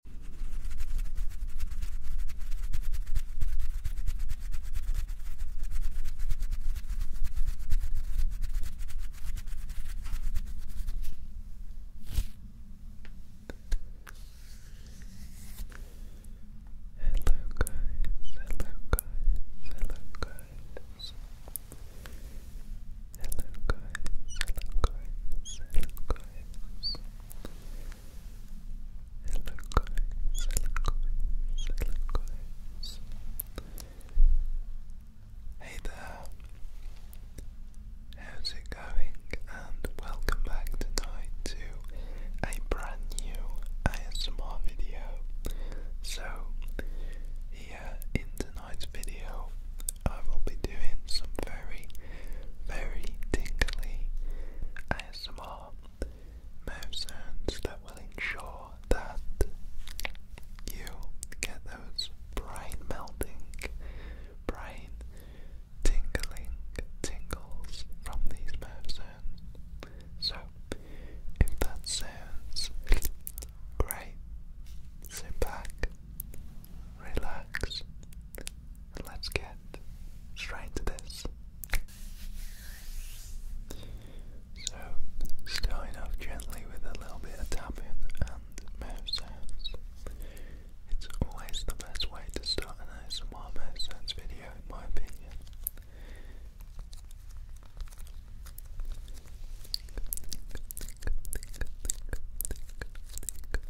Hello guys, hello guys, hello guys. Hello guys, hello guys, Hello guys, hello guys, hello guys. Hey there. How's it going? And welcome back tonight to a brand new ASMR video. So, here in tonight's video, I will be doing some very, very tingly ASMR mouth sounds that will ensure that you get those brain melting, brain tingling tingles from these mouth sounds. So, if that sounds great, sit back, relax, let's get straight to this. So, starting off gently with a little bit of tapping and mouth sounds. It's always the best way to start an ASMR mouth sounds video, in my opinion.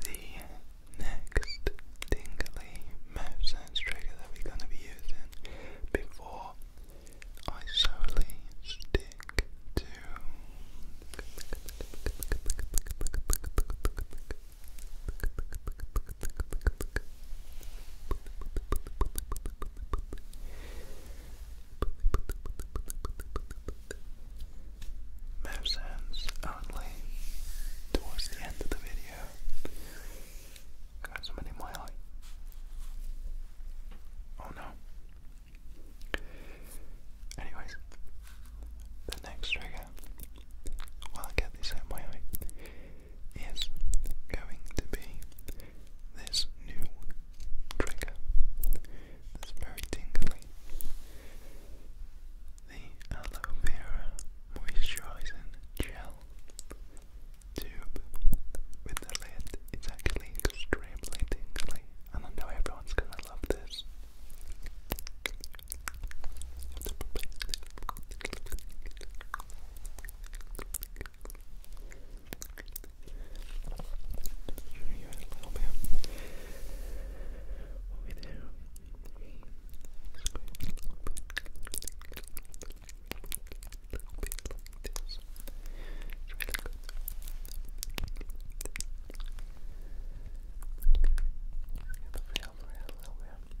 The next tingly mouth sounds trigger that we're going to be using before I solely stick to Map sounds only towards the end of the video. Got somebody in my Oh no. Anyways, the next trigger, while I get this out is going to be this new trigger that's very tingly. The aloe vera moisturizing gel tube with the lid. It's actually extremely tingly, I know everyone's gonna love this. Show you a little bit. Over there. Squeeze a little bit. Little bit like this. It's really good. Get the feel for it a little bit. Good.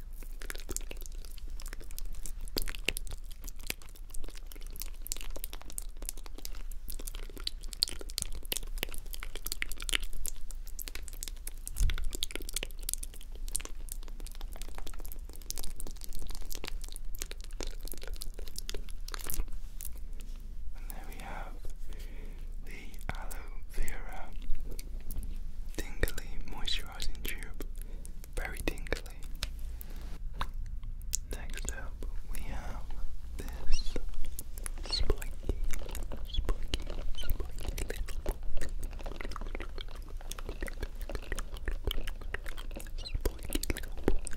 And there we have the aloe vera tingly moisturizer very tingly. Next up, we have this spiky, spiky, spiky little spiky little very tingly.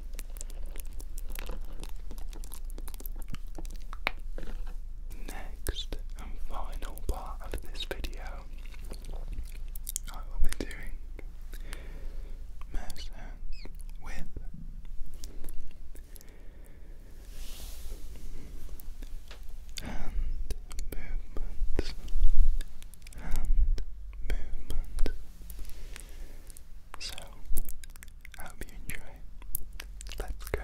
Next and final part of this video, I will be doing mouth with hand movements, hand movements. So I hope you enjoy. Let's go.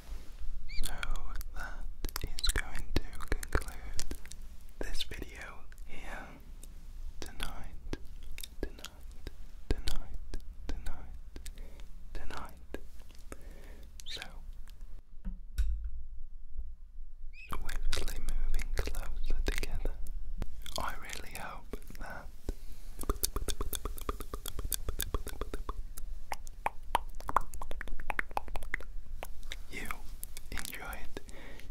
so that is going to conclude this video here tonight, tonight, tonight, tonight, tonight. So swiftly moving closer together. I really hope that you enjoyed.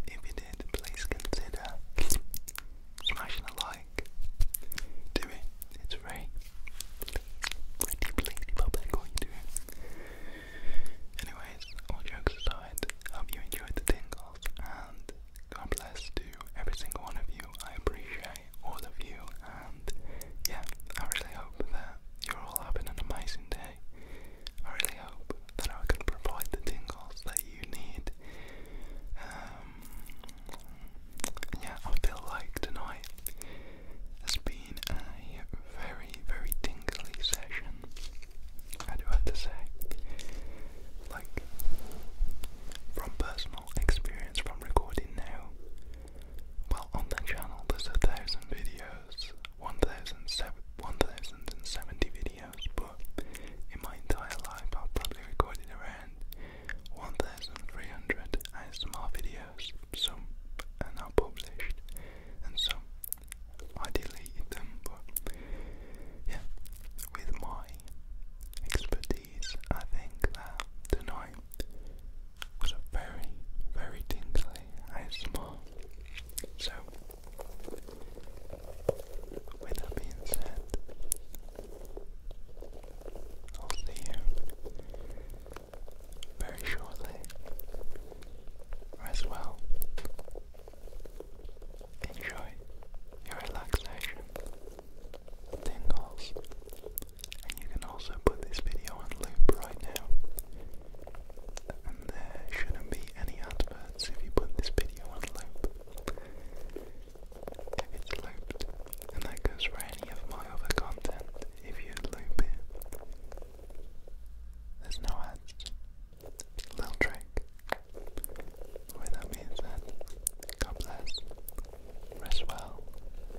If you did, please consider smashing a like. Do it. It's very pretty, pretty public what you do. Anyways, all jokes aside, hope you enjoyed the tingles and God bless to every single one of you. I appreciate all of you, and yeah, I really hope that you're all having an amazing day. I really hope that I can provide the tingles that you need. Um, yeah, I feel like tonight has been a very, very tingly session. I do have to say, like, from personal experience, from recording now, well, on that channel there's a thousand videos, 1070 videos, but in my entire life I've probably recorded around 1300 ASMR videos, some are now published, and some I deleted them, but yeah, with my expertise I think that tonight was a very, very tingly ASMR. So, with that being said, I'll see you very shortly, as well. Enjoy your relaxation, tingles, and you can also put this video on loop right now. And there shouldn't be any adverts if you put this video on loop. If it's looped, and that goes for any of my other content, if you loop it, there's no ads. Little trick. With that being said, God bless. Rest well,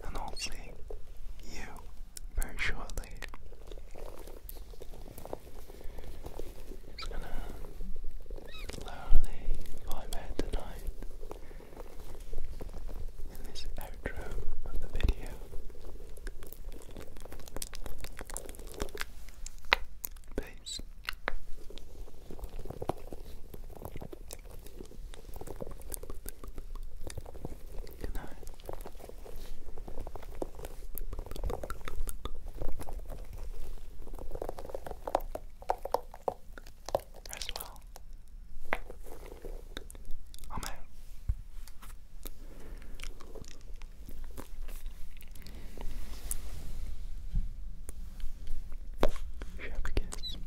and hopefully you very shortly. Just gonna slowly vibe out tonight in this outro of the video. Peace. Good night. well. I'm out. Chef kiss.